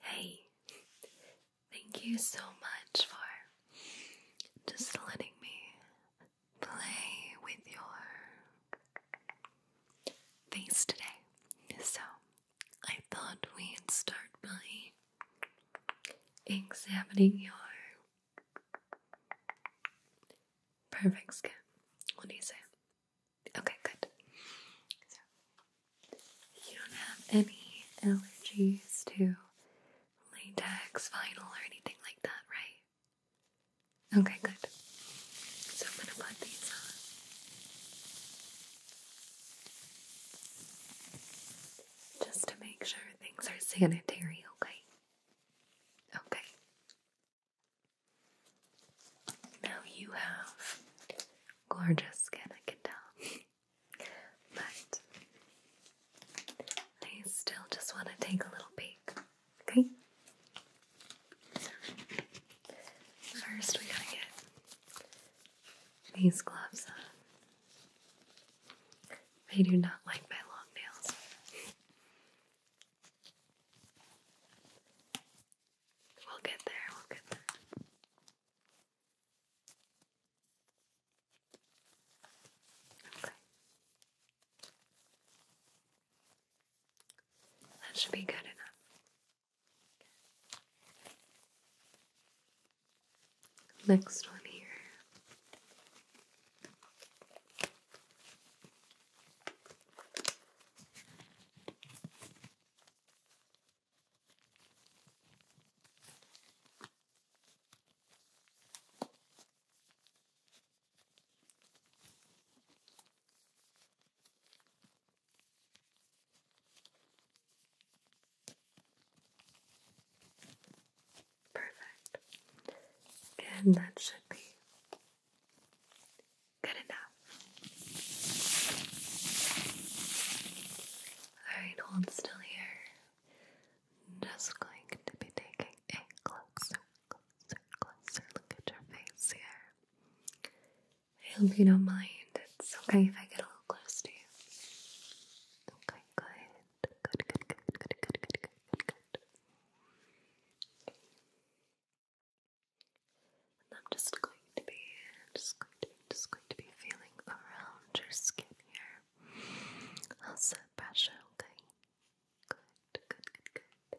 Hey, thank you so much for just letting me play with your face today. So, I thought we'd start by examining your perfect skin. What do you say? Okay, good. So, you don't have any allergies to latex, vinyl, or anything like that, right? Okay, good. So I'm gonna put these on. Just to make sure things are sanitary, okay? Okay. Now you have gorgeous skin, I can tell. but I still just want to take a little peek, okay? first, we gotta get these gloves on. I do not like my long nails. We'll get there, we'll get there. Okay. That should be good enough. Next one here. Perfect. And that should be good enough. Alright, hold still here. Just going to be taking a closer, closer, closer look at your face here. I hope you don't mind. It's okay if I get a little close to you. Okay, good. Good, good, good, good, good, good, good, good, I'm just going to be, just going to just going to be feeling around your skin here. I'll Good, good, good, good.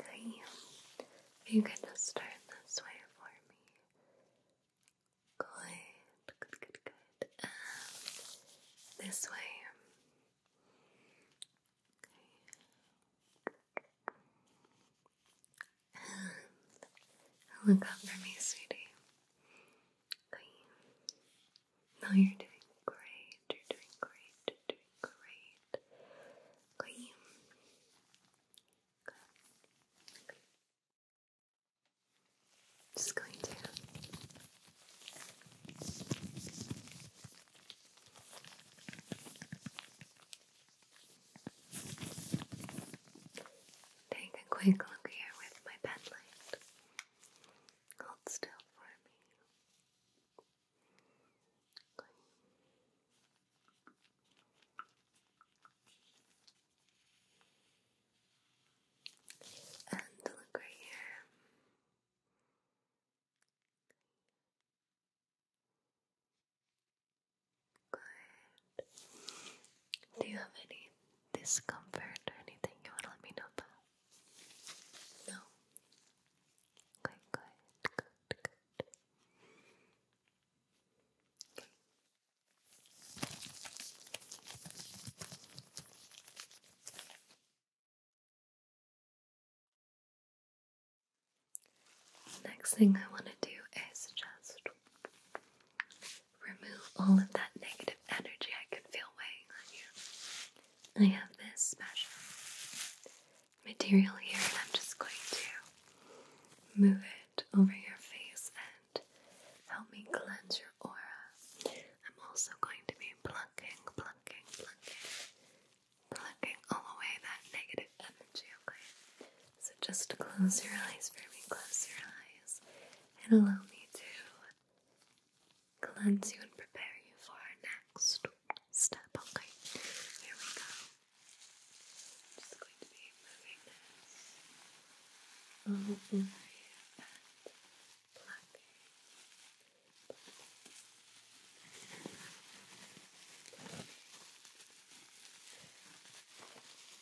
Okay, you can just turn this way for me. Good, good, good, good. Um, this way. Okay. Look up for me, sweetie. No, you're doing great. You're doing great. You're doing great. Okay. Just going to Take a quick look here with my pen Hold still for me. And look right here. Good. Do you have any discomfort or anything you want to let me know about? No? Okay, good, good, good. Okay. Next thing I want to do is just remove all of that negative energy I can feel weighing on you. I have this special material here, and I'm just going to move it over your face and help me cleanse your aura. I'm also going to be plucking, plucking, plucking, plucking all away that negative energy, okay? So just close your eyes for me, close your eyes, and allow me to cleanse you and prepare you for our next step. Okay, here we go. just going to be moving this and plucking.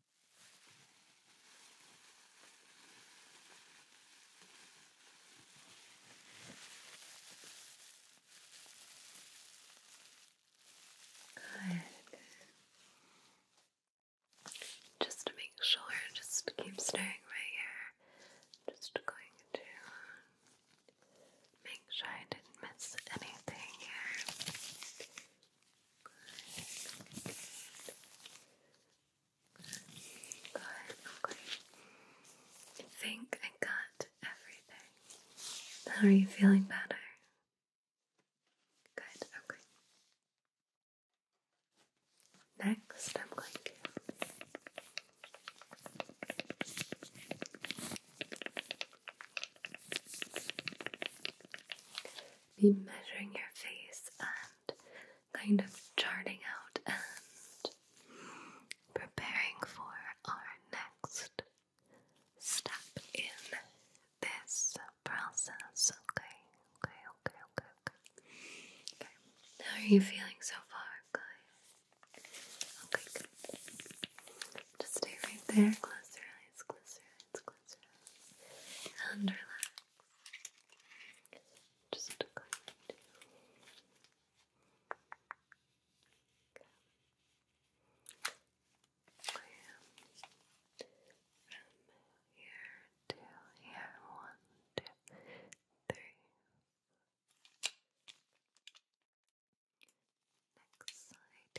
Good. Just to make sure, just keep staying right here. Just going to make sure I didn't miss anything here. Good. Good. Okay. I think I got everything. How are you feeling better? Good, okay. Next, I'm going to be measuring your face and kind of charting out and preparing for our next step in this process. Okay, okay, okay, okay, okay. okay. How are you feeling so far, guys? Okay, good. Just stay right there. Close your eyes, close your eyes, close cleanses and relax. Just going to here to here. One, two, three. Next side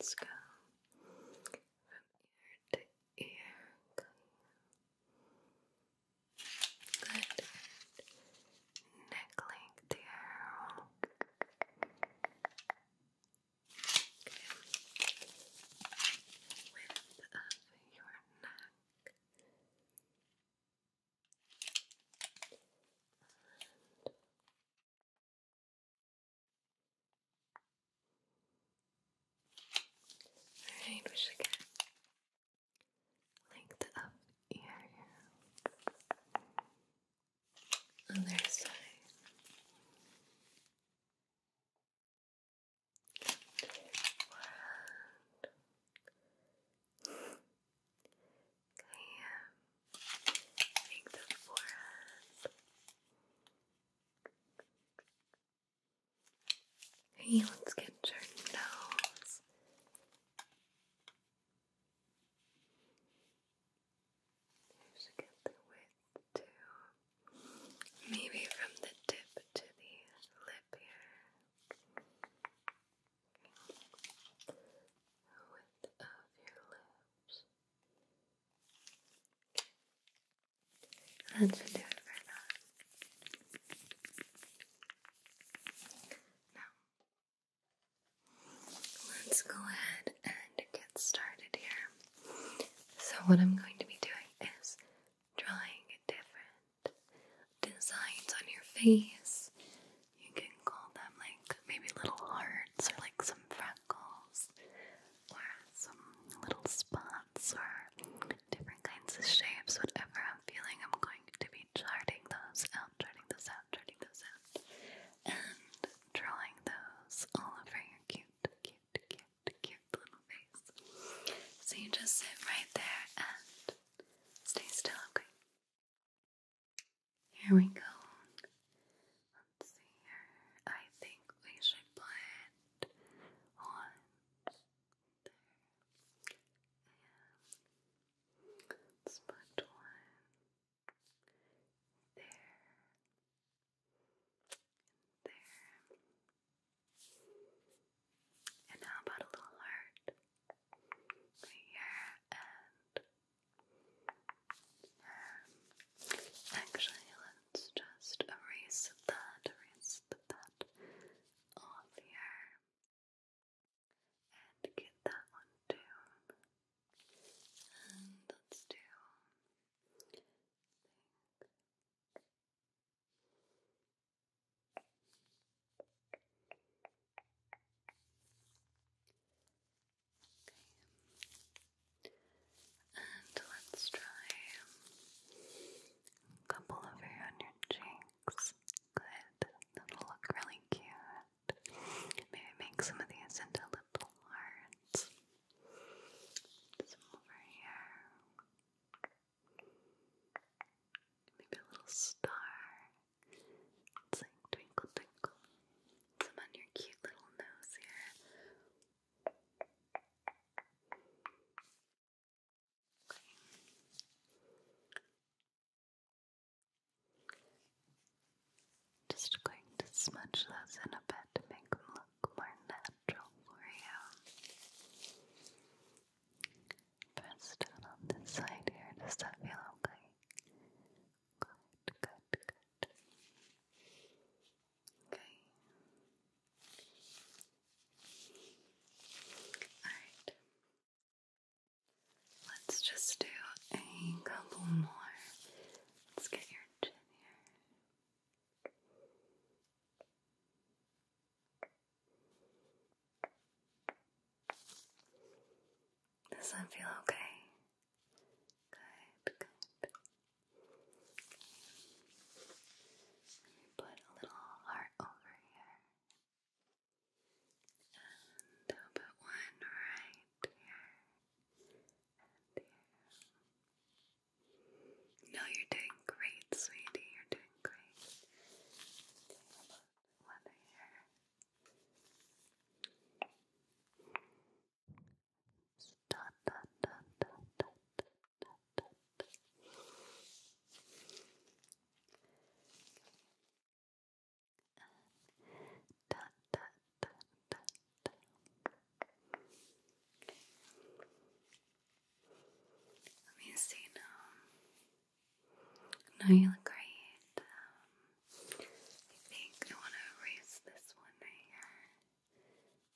Let's go from ear to ear. Good. Neck length there. Okay. Width of your neck. And Alright, we should get like the up ear other side. One, Okay, make the forehead. Okay, let's get your nose. You should get the width too. Maybe from the tip to the lip here width of your lips. That should do it for now. Now, let's go ahead and get started here. So, what I'm going to be doing is drawing different designs on your face you can call them like maybe little hearts or like some freckles or some little spots or different kinds of shapes, whatever I'm feeling. I'm going to be charting those out, charting those out, charting those out, and drawing those all over your cute, cute, cute, cute little face. So you just sit right there and stay still, okay? Here we go. Let's see here. I think we should put on there. Yeah. let one there. there. And how about a little heart? here and um, actually, let's just erase that, erase that off here, and get that one too. And let's do. Okay. And let's try a couple over on your cheeks. Good. That'll look really cute. Maybe make some of these into little hearts. Some over here. Maybe a little star twinkle twinkle. Some on your cute little nose here. Just going to smudge those a bit to make them look more natural for you. Press on this side here. Does that feel okay? Good, good, good. Okay. Alright. Let's just do a couple more. Let's get your chin here. Does that feel okay? Good, good. Let me put a little heart over here. And I'll put one right here. No, you're doing great, sweetie. You're doing great. One here. Let me see now. No, you look great. Um, I think I want to erase this one right here.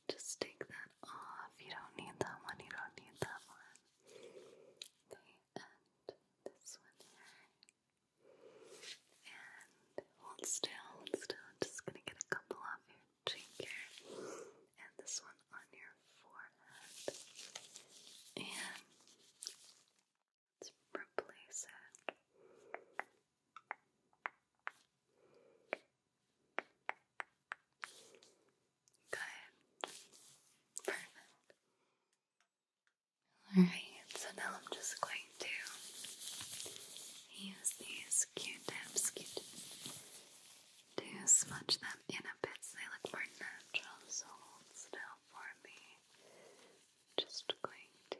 Just take that off. You don't need that one. You don't need that one. Okay, and this one here. And hold still, still. just gonna get a couple off your cheek here. And this one on your forehead. And Let's replace it. Good. Perfect. Alright, so now I'm just going to use these Q-tips, to smudge them in a bit they look more natural. So hold still for me just going to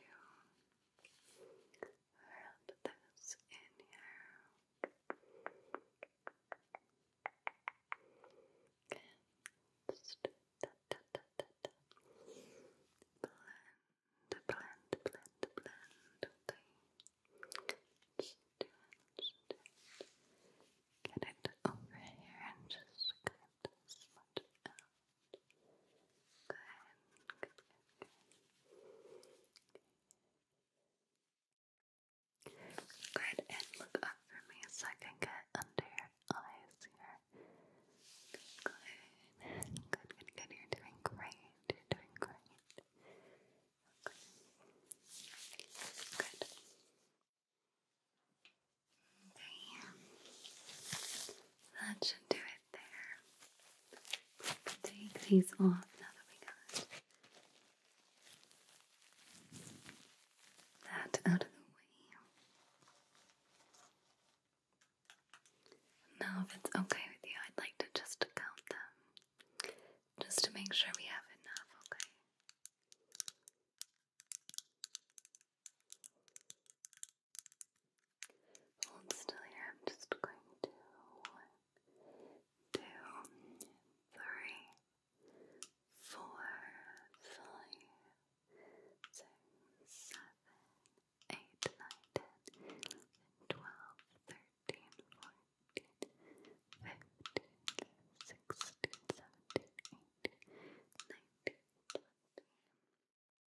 rub this in here and just da, da, da, da, da. blend, blend, blend, blend, okay? Just do it, just do it. Get it over here and just cut this much out. Good, good, good, good. Go ahead and look up for me so I can get under your eyes here. Good, good, good, good. You're doing great. You're doing great. Good. That should do it there. Take these off now that we got that out of the way. Now, if it's okay with you, I'd like to just count them just to make sure we have enough, okay? still here. I'm just going to one, two, three, four, five, six, seven, eight, nine, ten, eleven, twelve, thirteen, fourteen, fifteen, sixteen, seventeen, eighteen, nineteen, twenty.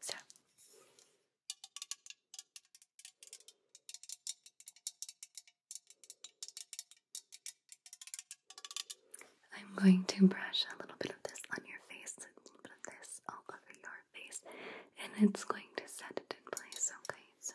So I'm going to brush a little bit of this on your face, a little bit of this all over your face, and it's going to set it in place, okay? So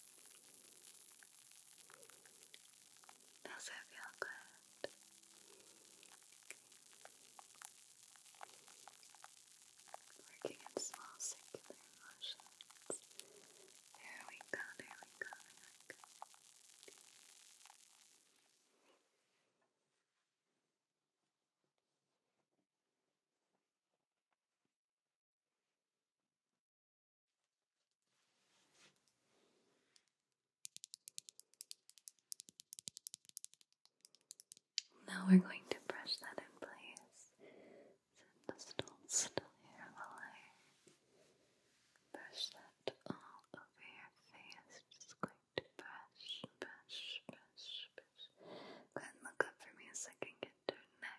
Does it feel good? Working in small circular motions. There we go, there we go, there we go. Now we're going to brush that in place. So just still here while I brush that all over your face. Just going to brush, brush, brush, brush. Go ahead and look up for me so I can get your neck.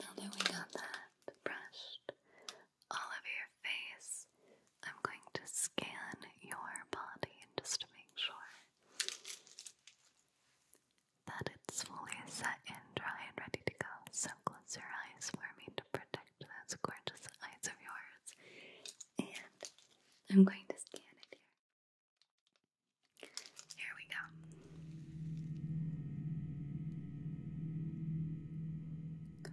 Now that we got that brushed all over your face, I'm going to scan your body just to make sure that it's fully set and dry and ready to go. So close your eyes for me to protect those gorgeous eyes of yours. And I'm going to scan it here. Here we go. Good.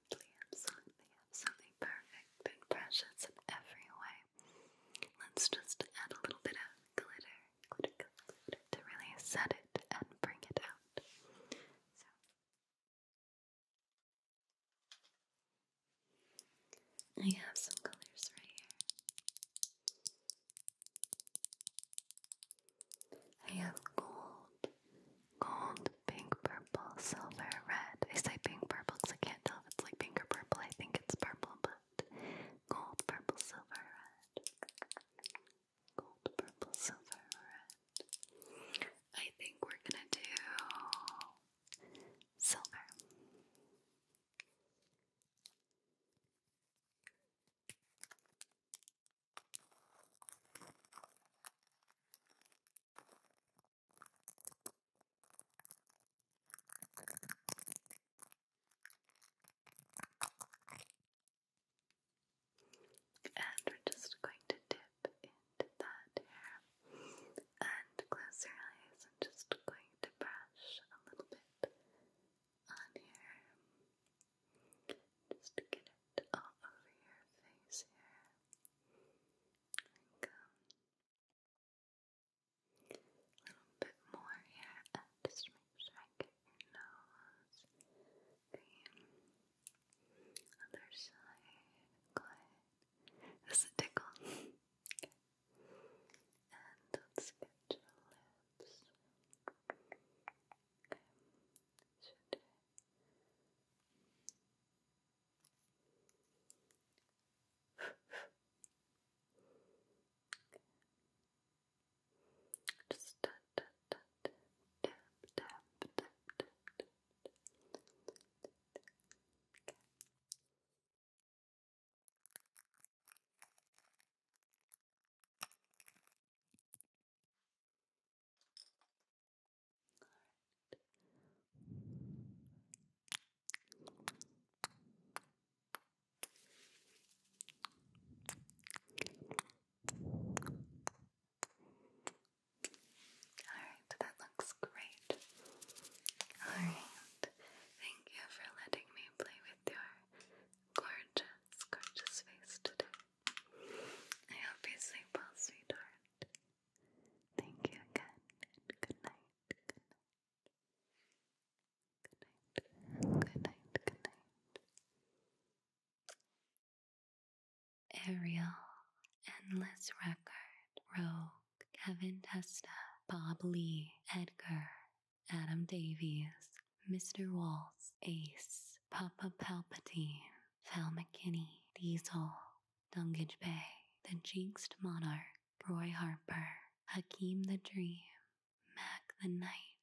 Absolutely, absolutely, perfect and precious in every way. Let's just add a little bit of glitter, glitter, glitter to really set it and bring it out. So. I have some colors right here. I have gold gold, pink, purple, silver, red. I say pink, purple because I can't tell if it's like pink or purple. I think it's purple, but gold, purple, silver, red. Gold, purple, silver, red. I think we're gonna do silver. And we're just going to dip into that hair and close your eyes. I'm just going to brush a little bit on here. Just get it all over your face here go. A little bit more here, just make sure I get your nose. The other side, Does it tickle? And let's get your lips. Okay. Should I? Just tap, tap, tap, tap, tap, tap, tap, tap, tap. Okay. Alright, that looks great. Alright, thank you for letting me play with your gorgeous, gorgeous face today. I hope you sweetheart. Thank you again, good night, good night, good night, good night, good night. Ariel, Endless Record, Rogue, Kevin Testa, Bob Lee, Edgar, Adam Davies, Mr. Waltz, Ace, Papa Palpatine, Val McKinney, Diesel, Dungage Bay, the Jinxed Monarch, Roy Harper, Hakeem the Dream, Mac the Knight,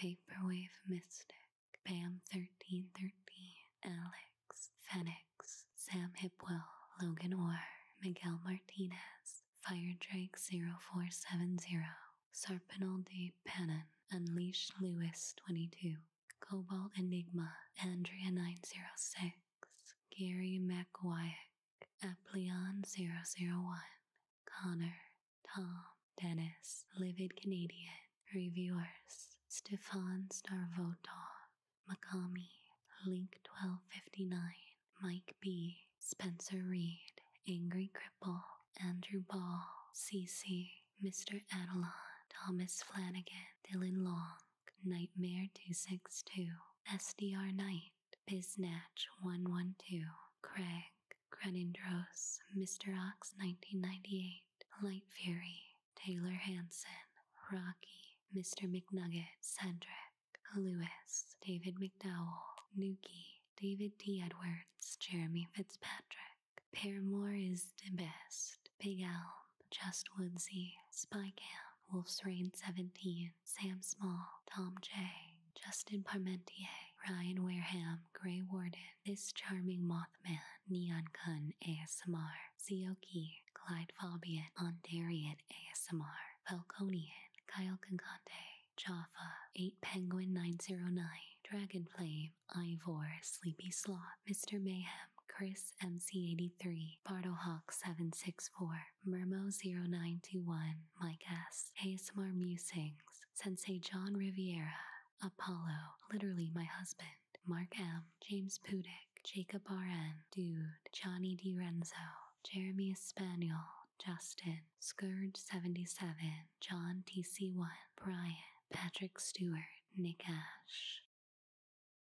Vaporwave Mystic, Bam 1313, Alex, Fenix, Sam Hipwell, Logan Orr, Miguel Martinez, Firedrake 0470, Sarpinal de Panon, Unleash Lewis 22, Cobalt Enigma, Andrea 906, Gary McWyack, Aplyon 001, Connor, Tom, Dennis, Livid Canadian, Reviewers, Stefan Starvotov, Makami, Link 1259, Mike B, Spencer Reed, Angry Cripple, Andrew Ball, CC, Mr. Adelon, Thomas Flanagan, Dylan Long, Nightmare 262, SDR Knight, Biznatch 112, Craig, Crenindros, Mr. Ox 1998, Light Fury, Taylor Hanson, Rocky, Mr. McNugget, Cedric, Lewis, David McDowell, Nuki, David T. Edwards, Jeremy Fitzpatrick. Paramore is the best, Big Elm, Just Woodsy, Spy Cam, Wolf's Rain 17, Sam Small, Tom J., Justin Parmentier, Ryan Wareham, Grey Warden, This Charming Mothman, Neon Gun ASMR, Zioki, Clyde Fabian, Ondarian ASMR, Falconian, Kyle Concante, Jaffa, 8 Penguin 909, Dragon Flame, Ivor, Sleepy Sloth, Mr. Mayhem, Chris MC83, Bartle Hawk 764 Mermo0921, Mike S, ASMR Musings, Sensei John Riviera, Apollo, literally my husband, Mark M, James Pudick, Jacob RN, Dude, Johnny D Renzo, Jeremy Spaniel, Justin, Scourge77, John TC1, Brian, Patrick Stewart, Nick Ash.